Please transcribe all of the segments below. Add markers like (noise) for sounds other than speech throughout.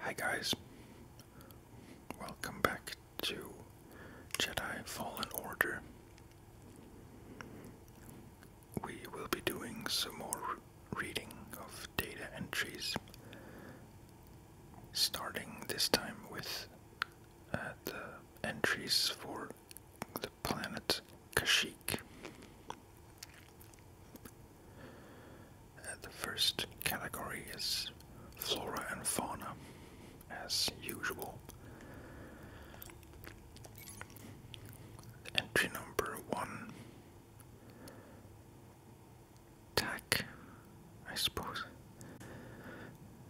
Hi guys, welcome back to Jedi Fallen Order. We will be doing some more reading of data entries, starting this time with uh, the entries for the planet Kashik. Uh, the first category is flora and fauna, as usual. Entry number one. Tack, I suppose.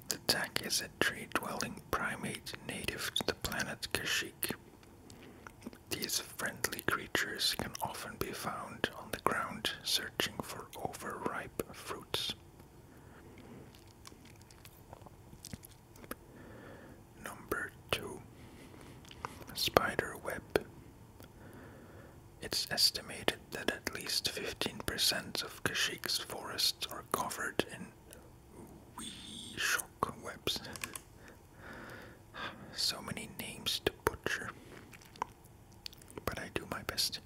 The tak is a tree-dwelling primate native to the planet Kashyyyk. These friendly creatures can often be found on the ground searching for overripe fruits. Number 2 Spider Web. It's estimated that at least 15% of Kashyyyk's forests are covered in Wee wee shockwaves. So many names to butcher, but I do my best.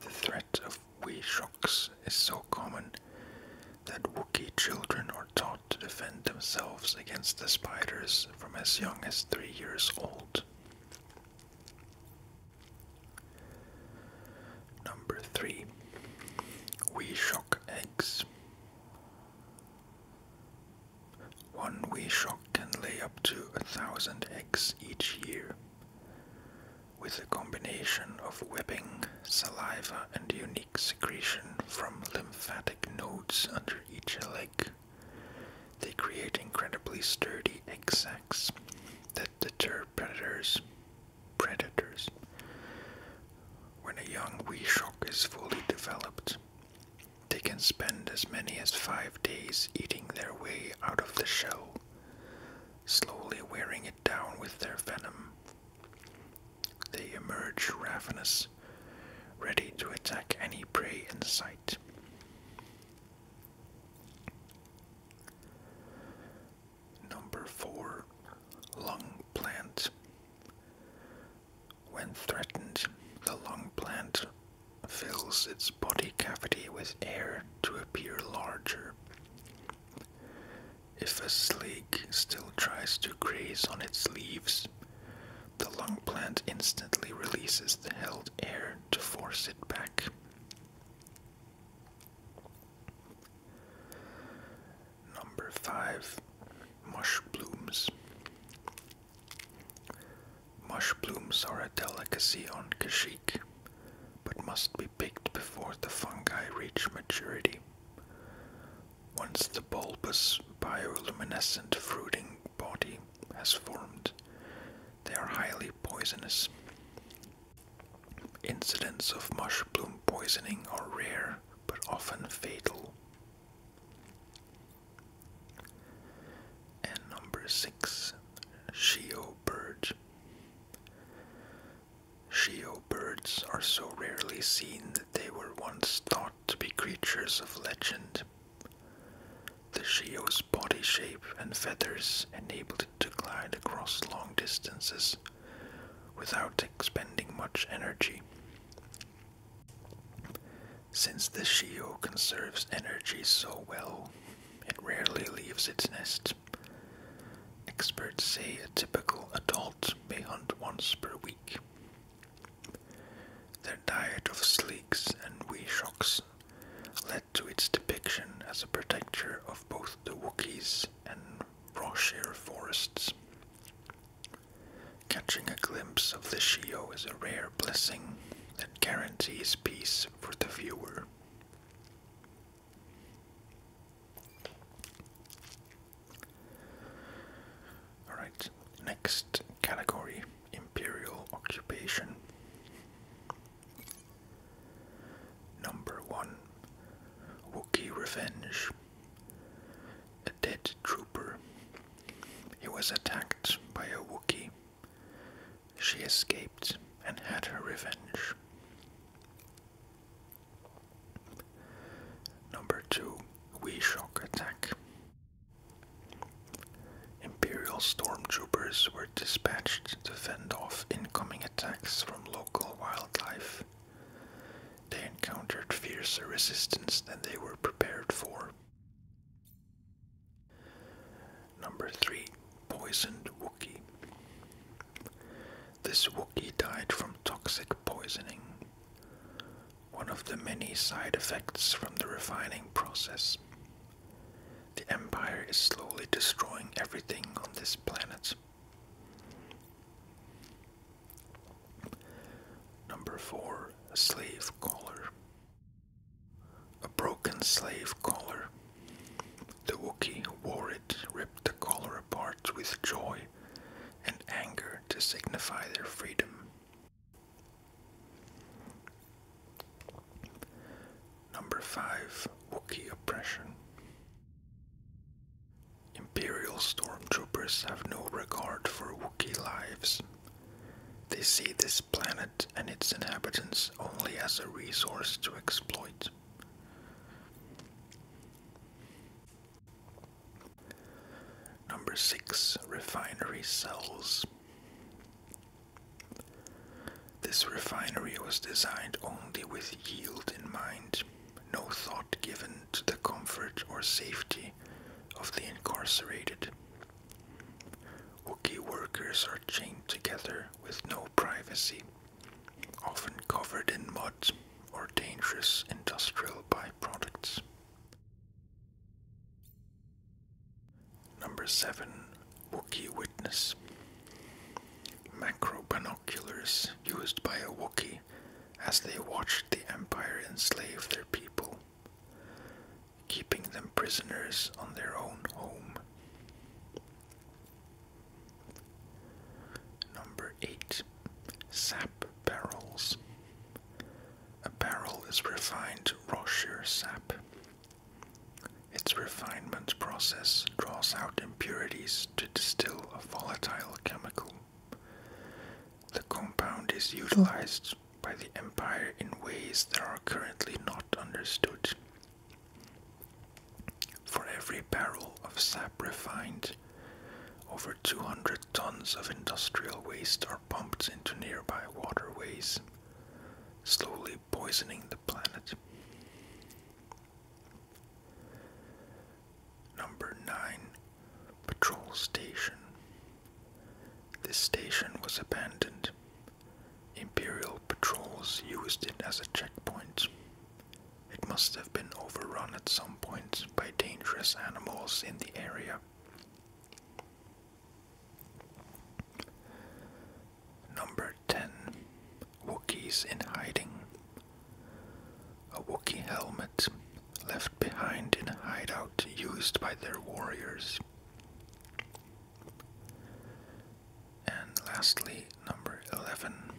The threat of wee shocks is so common that Wookie children are taught to defend themselves against the spiders from as young as three years old. Number three, we shock eggs. One wee shock can lay up to a thousand eggs each year. With a combination of webbing, saliva, and unique secretion from lymphatic nodes under each leg, they create incredibly sturdy egg sacs that deter predators, predators. When a young shock is fully developed, they can spend as many as five days eating their way out of the shell, slowly wearing it down with their venom. They emerge ravenous, ready to attack any prey in sight. Number 4. Lung plant. When threatened, the lung plant fills its body cavity with air to appear larger. If a slug still tries to graze on its leaves, the lung plant instantly releases the held air to force it back. Number five, mush blooms. Mush blooms are a delicacy on Kashik, but must be picked before the fungi reach maturity. Once the bulbous bioluminescent fruiting body has formed, they are highly poisonous. Incidents of mush bloom poisoning are rare but often fatal. And number six, Shio bird. Shio birds are so rarely seen that they were once thought to be creatures of legend. The Shio's body shape and feathers enabled it to glide across long distances without expending much energy. Since the shio conserves energy so well, it rarely leaves its nest. Experts say a typical adult may hunt once per week. Their diet of sleeks and weeshocks led to its depiction as a protector of both the Wookiees and Roshire forests. Catching a glimpse of the Shio is a rare blessing that guarantees peace for the viewer. Alright, next category Imperial Occupation. Number 1 Wookie Revenge A dead trooper. He was attacked by a Wookie. She escaped and had her revenge. Number 2 we Shock Attack. Imperial stormtroopers were dispatched to fend off incoming attacks from local wildlife. They encountered fiercer resistance than they were prepared for. Number 3. Poisoned Wookie. This Wookie died from toxic poisoning, one of the many side effects from the refining process. The Empire is slowly destroying everything on this planet. Number 4. A slave collar. A broken slave collar. The Wookiee wore it, ripped the collar apart with joy and anger to signify their freedom. Number 5 Wookie Oppression Imperial stormtroopers have no regard for Wookie lives. They see this planet and its inhabitants only as a resource to exploit. Number 6 Refinery Cells this refinery was designed only with yield in mind, no thought given to the comfort or safety of the incarcerated. Hookie workers are chained together with no privacy, often covered in mud or dangerous industrial byproducts. Number 7. Wookie Witness Macro binoculars used by a Wookie, as they watched the Empire enslave their people, keeping them prisoners on their own home. Number 8. Sap Barrels A barrel is refined Rocher sap its refinement process draws out impurities to distill a volatile chemical. The compound is utilized by the Empire in ways that are currently not understood. For every barrel of sap refined, over 200 tons of industrial waste are pumped into nearby waterways, slowly poisoning the planet. Number 9 Patrol Station. This station was abandoned. Imperial patrols used it as a checkpoint. It must have been overrun at some point by dangerous animals in the area. Number 10 Wookiees in Hiding. A Wookiee helmet left behind in a hideout used by their warriors. And lastly, number 11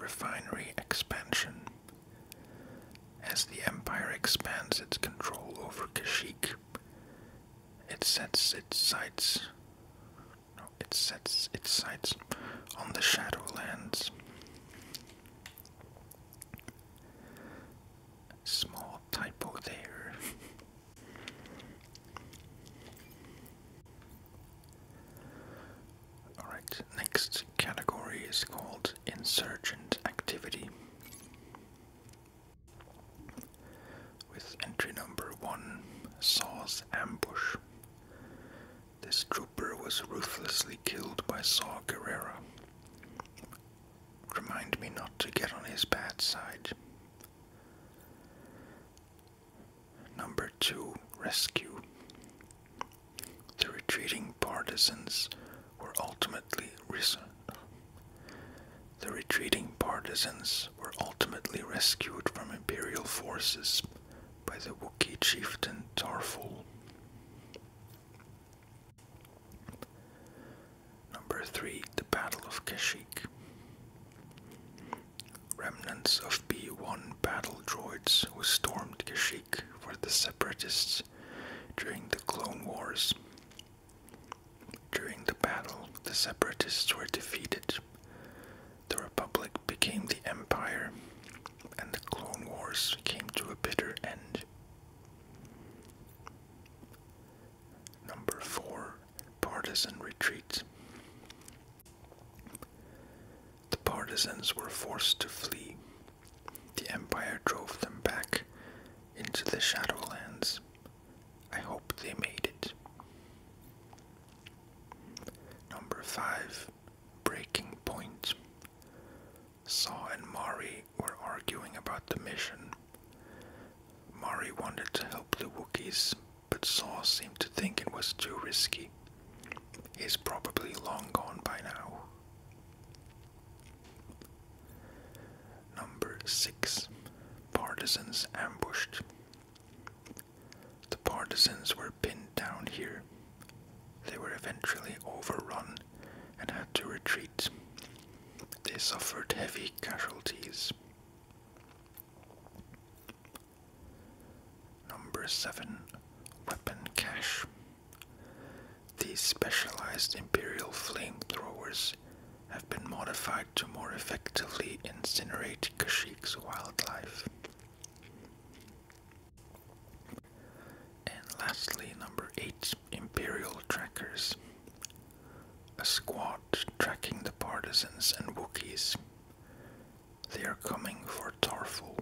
Refinery Expansion. As the Empire expands its control over Kashyyyk, it sets its sights. it sets its sights on the Shadowlands. Small typo there. (laughs) Alright, next category is called Insurgent Activity. With entry number one, Saw's Ambush. This trooper was ruthlessly killed by Saw Guerrera. Remind me not to get on his bad side. Number two, Rescue. The retreating partisans were ultimately risen. The retreating partisans were ultimately rescued from imperial forces by the Wookiee chieftain Tarful. Number 3. The Battle of Kashyyyk. Remnants of B 1 battle droids who stormed Kashyyyk for the Separatists during the Clone Wars during the battle, the separatists were defeated. The Republic became the Empire, and the Clone Wars came to a bitter end. Number 4 Partisan Retreat The partisans were forced to flee. The Empire drove them back, into the Shadowlands. I hope they made it. Number 5. Breaking Point. Saw and Mari were arguing about the mission. Mari wanted to help the Wookiees, but Saw seemed to think it was too risky. He's probably long gone by now. Number 6. Partisans ambushed. The partisans were pinned down here. They were eventually overrun and had to retreat. They suffered heavy casualties. Number 7. Weapon cache. These specialized imperial flamethrowers have been modified to more effectively incinerate Kashyyyk's wildlife. And lastly, number 8 Imperial Trackers. A squad tracking the partisans and Wookiees. They are coming for Tarful.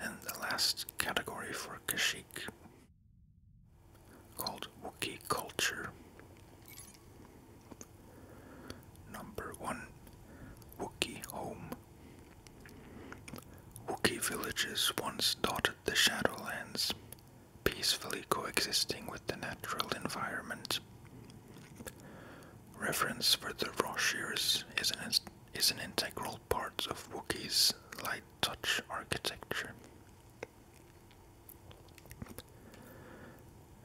And the last category for Kashik, called Wookie culture. Number one, Wookiee home. Wookiee villages once dotted the Shadowlands, peacefully coexisting with the natural environment. Reference for the roshiers is an, is an integral part of Wookie's light touch architecture.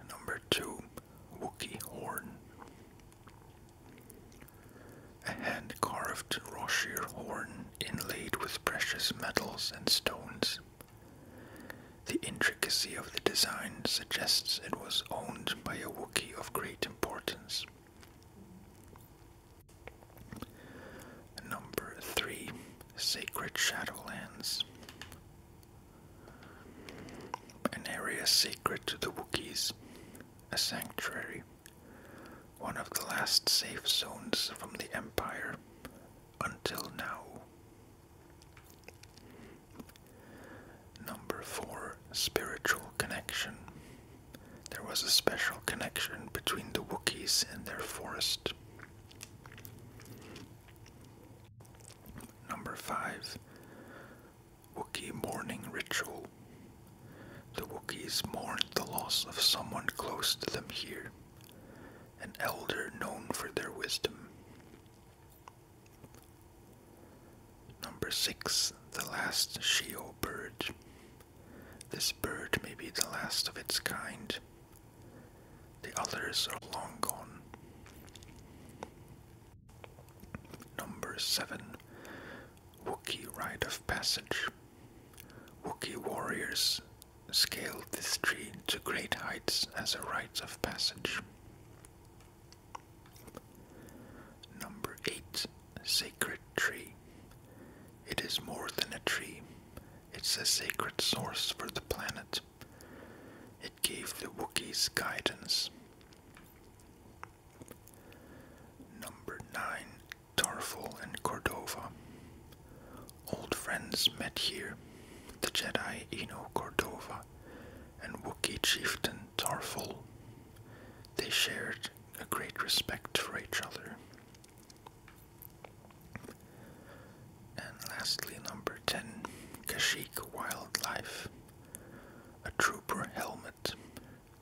Number 2. Wookiee Horn. A hand carved Roshir horn inlaid with precious metals and stones. The intricate the intricacy of the design suggests it was owned by a Wookiee of great importance. Number 3 Sacred Shadowlands. An area sacred to the Wookiees, a sanctuary, one of the last safe zones from the Empire until now. Number four, spiritual connection. There was a special connection between the Wookiees and their forest. Number five, Wookiee mourning ritual. The Wookiees mourned the loss of someone close to them here, an elder known for their wisdom. Number 6. The last Shio bird. This bird may be the last of its kind. The others are long gone. Number 7. Wookie Rite of Passage. Wookiee warriors scaled this tree to great heights as a rite of passage. Number 8. Sacred Tree. It is more than a tree, it's a sacred source for the planet. It gave the Wookiees guidance. Number 9. Tarful and Cordova. Old friends met here. The Jedi Eno Cordova and Wookie chieftain Tarful. They shared a great respect for each other. And lastly, number 10 Kashik Wildlife. A trooper helmet,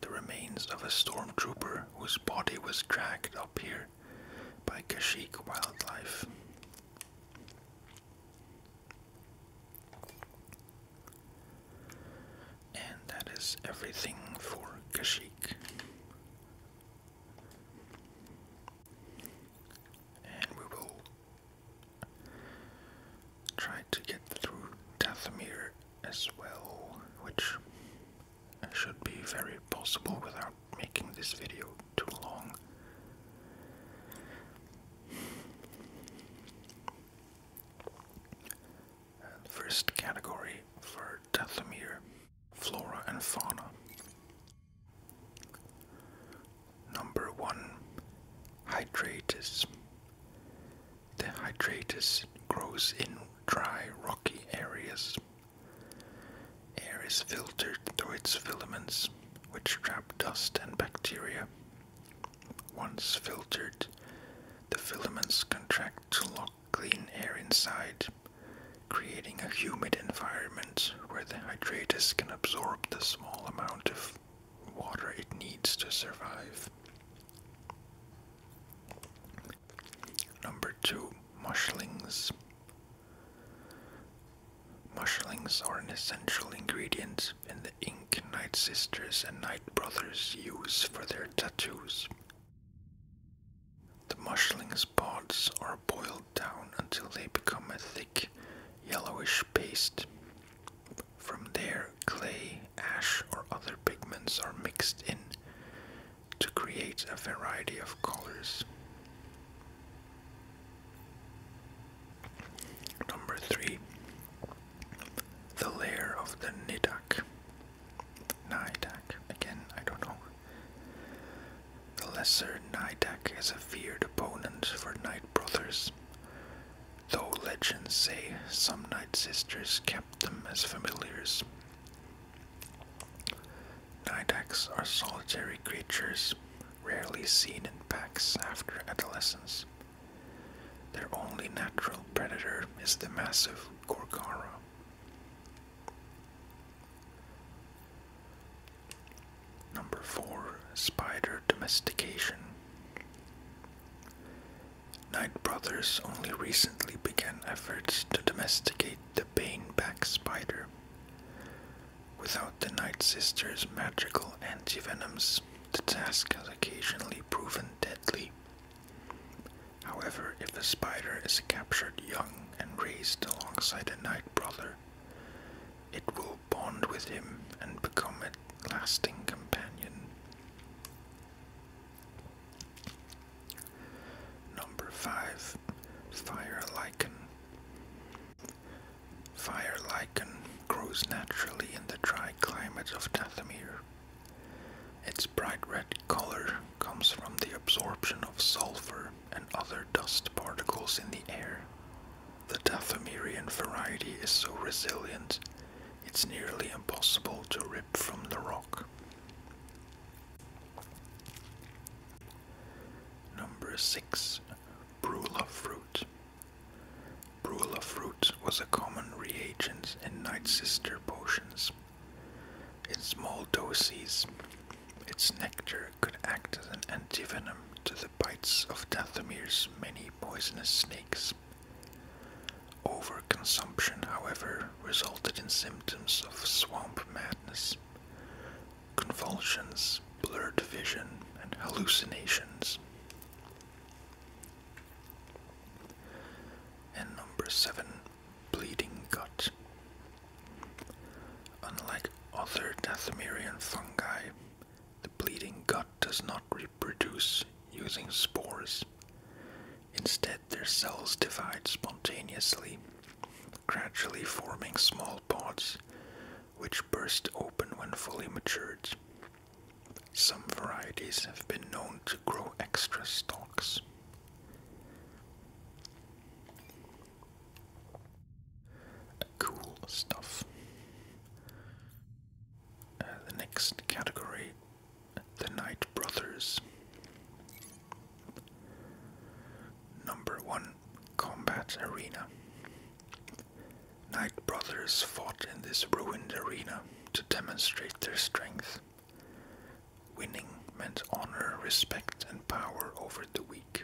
the remains of a stormtrooper whose body was dragged up here by Kashik Wildlife. And that is everything for Kashik. And we will try to get through Dathomir as well, which should be very possible without making this video too long first category for Dathomir Flora and Fauna. Number one Hydratus. The Hydratus grows in dry rocky areas. Air is filtered through its filaments which trap dust and bacteria. Once filtered, the filaments contract to lock clean air inside, creating a humid environment where the hydratus can absorb the small amount of water it needs to survive. Number two, mushlings. Mushlings are an essential ingredient in the ink Night Sisters and Night Brothers use for their tattoos. The mushling's pods are boiled down until they become a thick, yellowish paste. From there, clay, ash, or other pigments are mixed in to create a variety of colors. Number three, the lair of the Nidak. Nidak, again, I don't know. The lesser Nidak is a feared opponent for Night Brothers, though legends say some Night Sisters kept them as familiars. Nidaks are solitary creatures rarely seen in packs after adolescence. Their only natural predator is the massive Gorgara. Number 4. Spider Domestication. Knight Brothers only recently began efforts to domesticate the baneback spider. Without the Night Sister's magical antivenoms, the task has occasionally proven deadly. However, if a spider is captured young and raised alongside a Night Brother, it will bond with him and become a lasting companion. Number 5 Fire Lichen. Fire lichen grows naturally in the dry climates of Dathomir. Its bright red color comes from the absorption of sulfur and other dust particles in the air. The Dathomirian variety is so resilient, it's nearly impossible to rip from the rock. Number 6 Brula fruit. Brula fruit was a common reagent in Night Sister potions. In small doses, its nectar could act as an antivenom to the bites of Dathomir's many poisonous snakes. Overconsumption, however, resulted in symptoms of swamp madness, convulsions, blurred vision, and hallucinations. And number seven, bleeding gut. Unlike other Dathomirian fungi, the bleeding gut does not reproduce using spores. Instead, their cells divide spontaneously gradually forming small pods which burst open when fully matured. Some varieties have been known to grow extra stalks. Cool stuff. Uh, the next category, the Knight Brothers. Number 1 Combat Arena Knight brothers fought in this ruined arena to demonstrate their strength. Winning meant honor, respect, and power over the weak.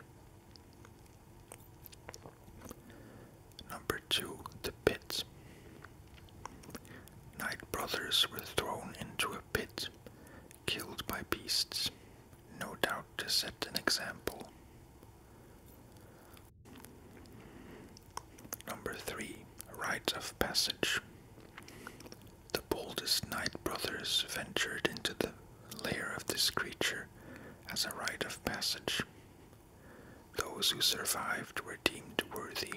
Number 2 The pits. Knight brothers were thrown into a pit, killed by beasts, no doubt to set an example. Number 3. Rites of Passage The boldest Knight brothers ventured into the lair of this creature as a rite of passage. Those who survived were deemed worthy.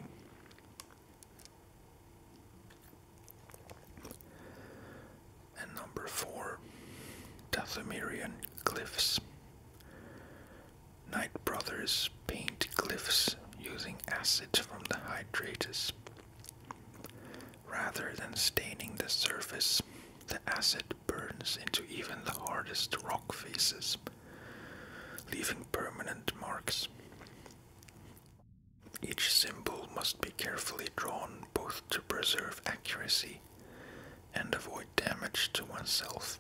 And number four, Dathomirian Cliffs. Knight brothers paint cliffs using acid from the hydrates. Rather than staining the surface, the acid burns into even the hardest rock faces, leaving permanent marks. Each symbol must be carefully drawn both to preserve accuracy and avoid damage to oneself.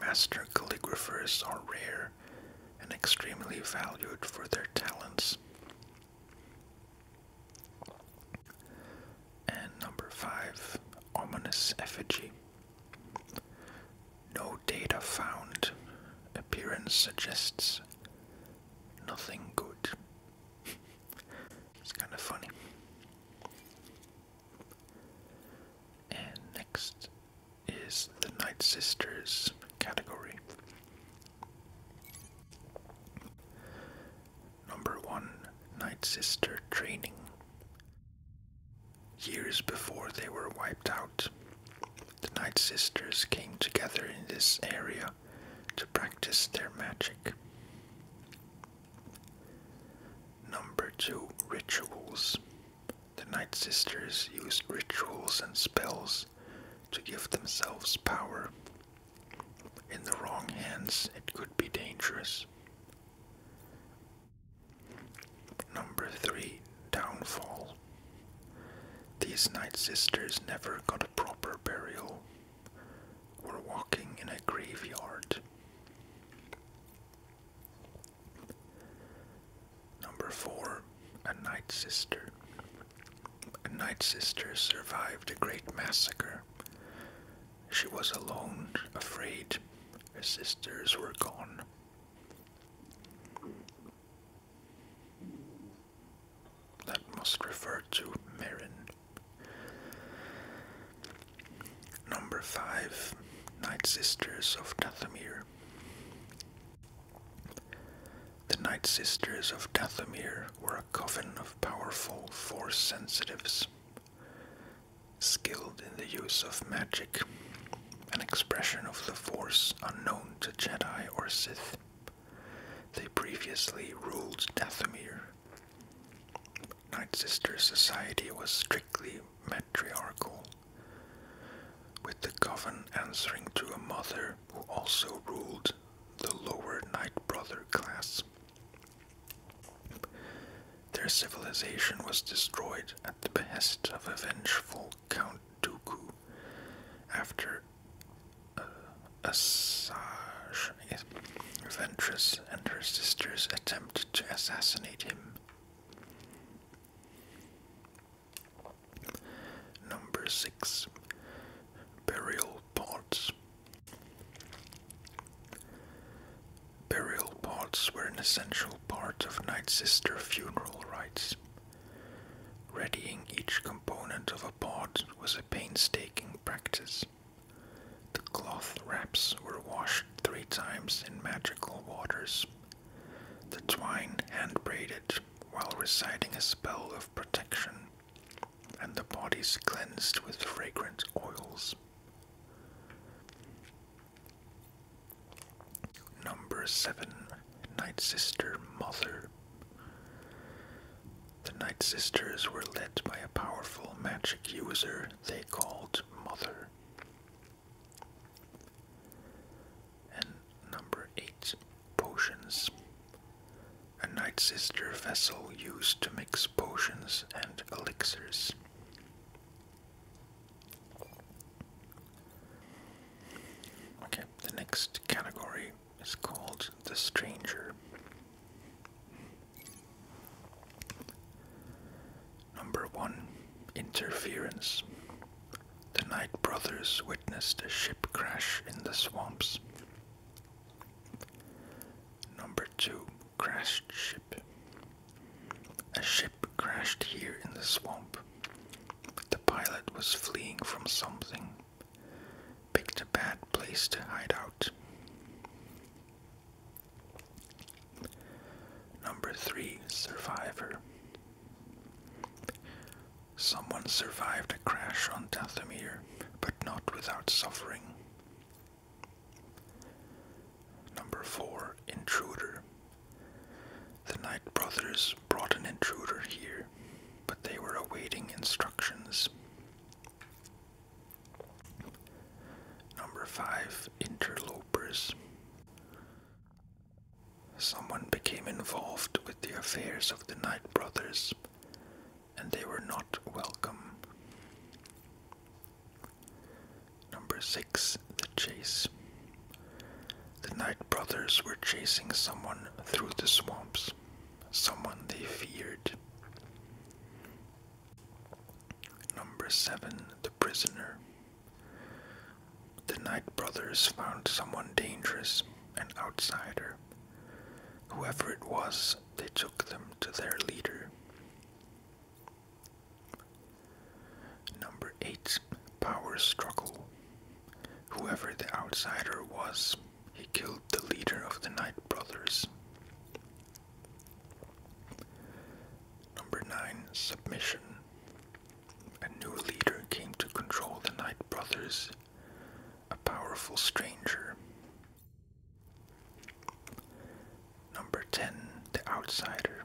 Master calligraphers are rare and extremely valued for their talents. And number five, ominous effigy. No data found. Appearance suggests nothing good. (laughs) it's kind of funny. And next is the Night Sisters category. Number one Night Sister training. Years before they were wiped out, the Night Sisters came together in this area to practice their magic. Number 2 Rituals. The Night Sisters used rituals and spells to give themselves power. In the wrong hands, it could be dangerous. Number 3 Downfall. These night sisters never got a proper burial, were walking in a graveyard. Number four, a night sister. A night sister survived a great massacre. She was alone, afraid. Her sisters were gone. That must refer to Marin. Number five, Night Sisters of Dathomir. The Night Sisters of Dathomir were a coven of powerful force sensitives, skilled in the use of magic an expression of the Force unknown to Jedi or Sith. They previously ruled Dathomir. Night Sister society was strictly matriarchal, with the coven answering to a mother who also ruled the lower Night Brother class. Their civilization was destroyed at the behest of a vengeful Count Dooku after uh, Asajj, I guess, Ventress and her sisters attempt to assassinate him. Number 6 Burial Pots. Burial pots were an essential part of Night funeral rites. Readying each component of a pot was a painstaking practice. The cloth wraps were washed three times in magical waters, the twine hand braided while reciting a spell of protection, and the bodies cleansed with fragrant oils. Number 7 Night Sister Mother. The Night Sisters were led by a powerful magic user they called Mother. And number 8 Potions. A Night Sister vessel used to mix potions and elixirs. Okay, the next category is called The Stranger. Number 1 Interference. The Knight brothers witnessed a ship crash in the swamps. Number 2 Crashed Ship. A ship crashed here in the swamp the pilot was fleeing from something, picked a bad place to hide out. Number 3 Survivor Someone survived a crash on Dathomir, but not without suffering. Number 4 Intruder the Knight brothers brought an intruder here, but they were awaiting instructions. Number 5 Interlopers. Someone became involved with the affairs of the Knight brothers, and they were not welcome. Number 6. The Chase. The Knight brothers were chasing someone through the swamps, someone they feared. Number 7. The Prisoner. The Knight brothers found someone dangerous, an outsider. Whoever it was, they took them to their leader. Number 8. Power struggle. Whoever the outsider was, he killed the leader of the Knight brothers. Number 9. Submission. A new leader came to control the Knight brothers, a powerful stranger. Number 10. The outsider.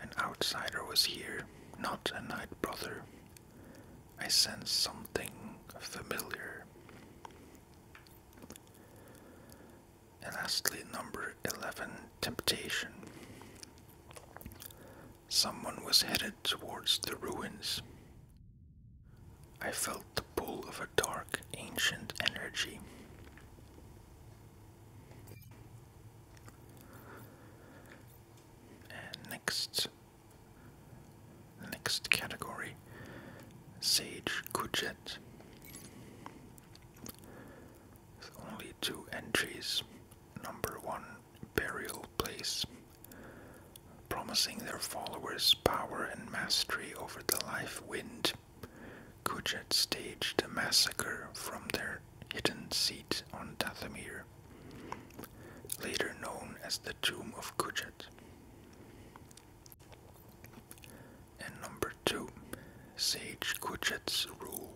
An outsider was here, not a knight brother. I sensed something familiar. lastly, number 11 Temptation. Someone was headed towards the ruins. I felt the pull of a dark, ancient energy next, next category, Sage Kujet. only two entries. Number one, Burial Place, promising their followers power and mastery over the life wind. Kujat staged a massacre from their hidden seat on Dathomir, later known as the Tomb of Kujat. And number two, Sage Kujat's Rule.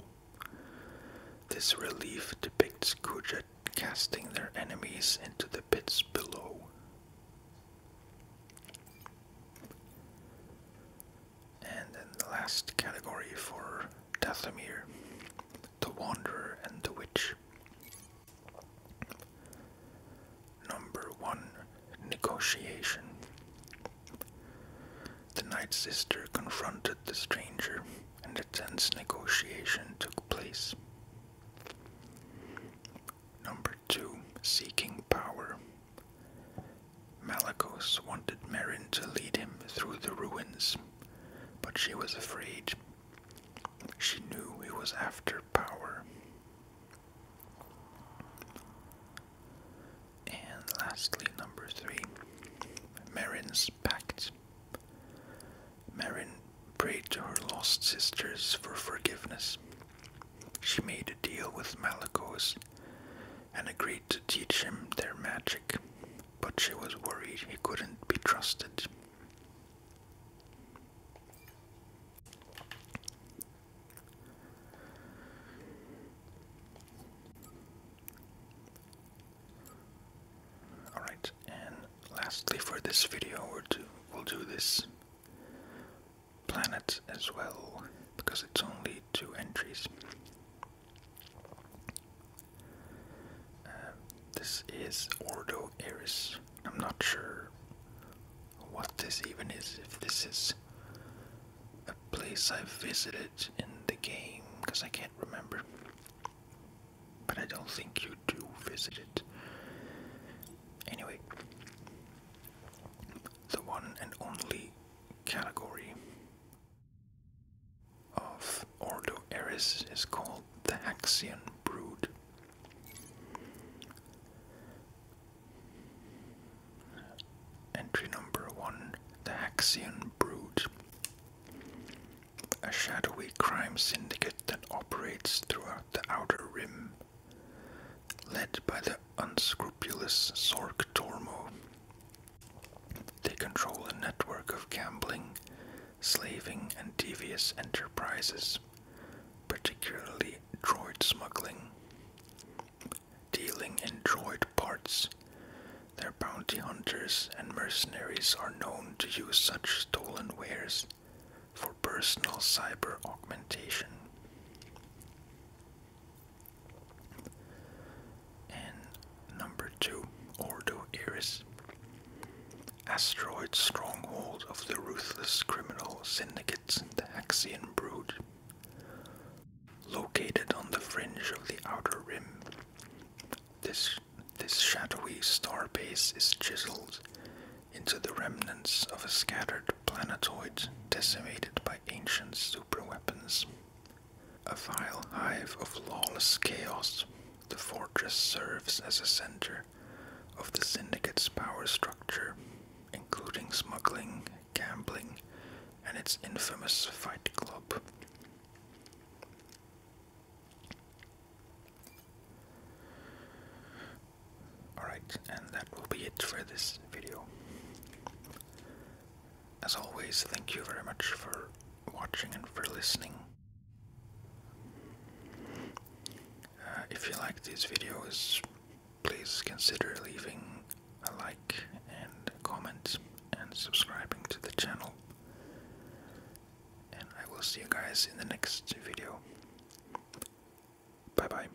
This relief depicts Kujat casting their enemies into the pits below. And in the last category for Dathomir, the Wanderer and the Witch. Number 1 Negotiation. The knight's Sister confronted the stranger, and a tense negotiation took place. Number 2 Seeking Power. Malakos wanted Merin to lead him through the ruins, but she was afraid. She knew he was after power. And lastly, number three, Merin's pact. Merin prayed to her lost sisters for forgiveness, she made a deal with Malakos and agreed to teach him their magic, but she was worried he couldn't be trusted. Alright, and lastly for this video, we'll do, we'll do this planets as well, because it's only two entries. Um, this is Ordo Eris. I'm not sure what this even is, if this is a place I've visited in the game, because I can't remember. But I don't think you do visit it. Anyway, the one and only category of Ordo Eris is called the Haxian brood. Entry number one The Haxian Brood. A shadowy crime syndicate that operates throughout the Outer Rim led by the unscrupulous Sork Tormo. They control a network of gambling, slaving, and devious enterprises, particularly droid smuggling. Dealing in droid parts, their bounty hunters and mercenaries are known to use such stolen wares for personal cyber augmentation. And number two, Ordo Asteroid stronghold of the ruthless criminal syndicates, the Axian Brood. Located on the fringe of the outer rim, this, this shadowy star base is chiseled into the remnants of a scattered planetoid decimated by ancient superweapons. A vile hive of lawless chaos, the fortress serves as a center of the syndicate's power structure, including smuggling, gambling, and its infamous fight club. Alright, and that will be it for this video. As always, thank you very much for watching and for listening. Uh, if you like these videos, please consider leaving a like and a comment and subscribing to the channel. And I will see you guys in the next video. Bye bye.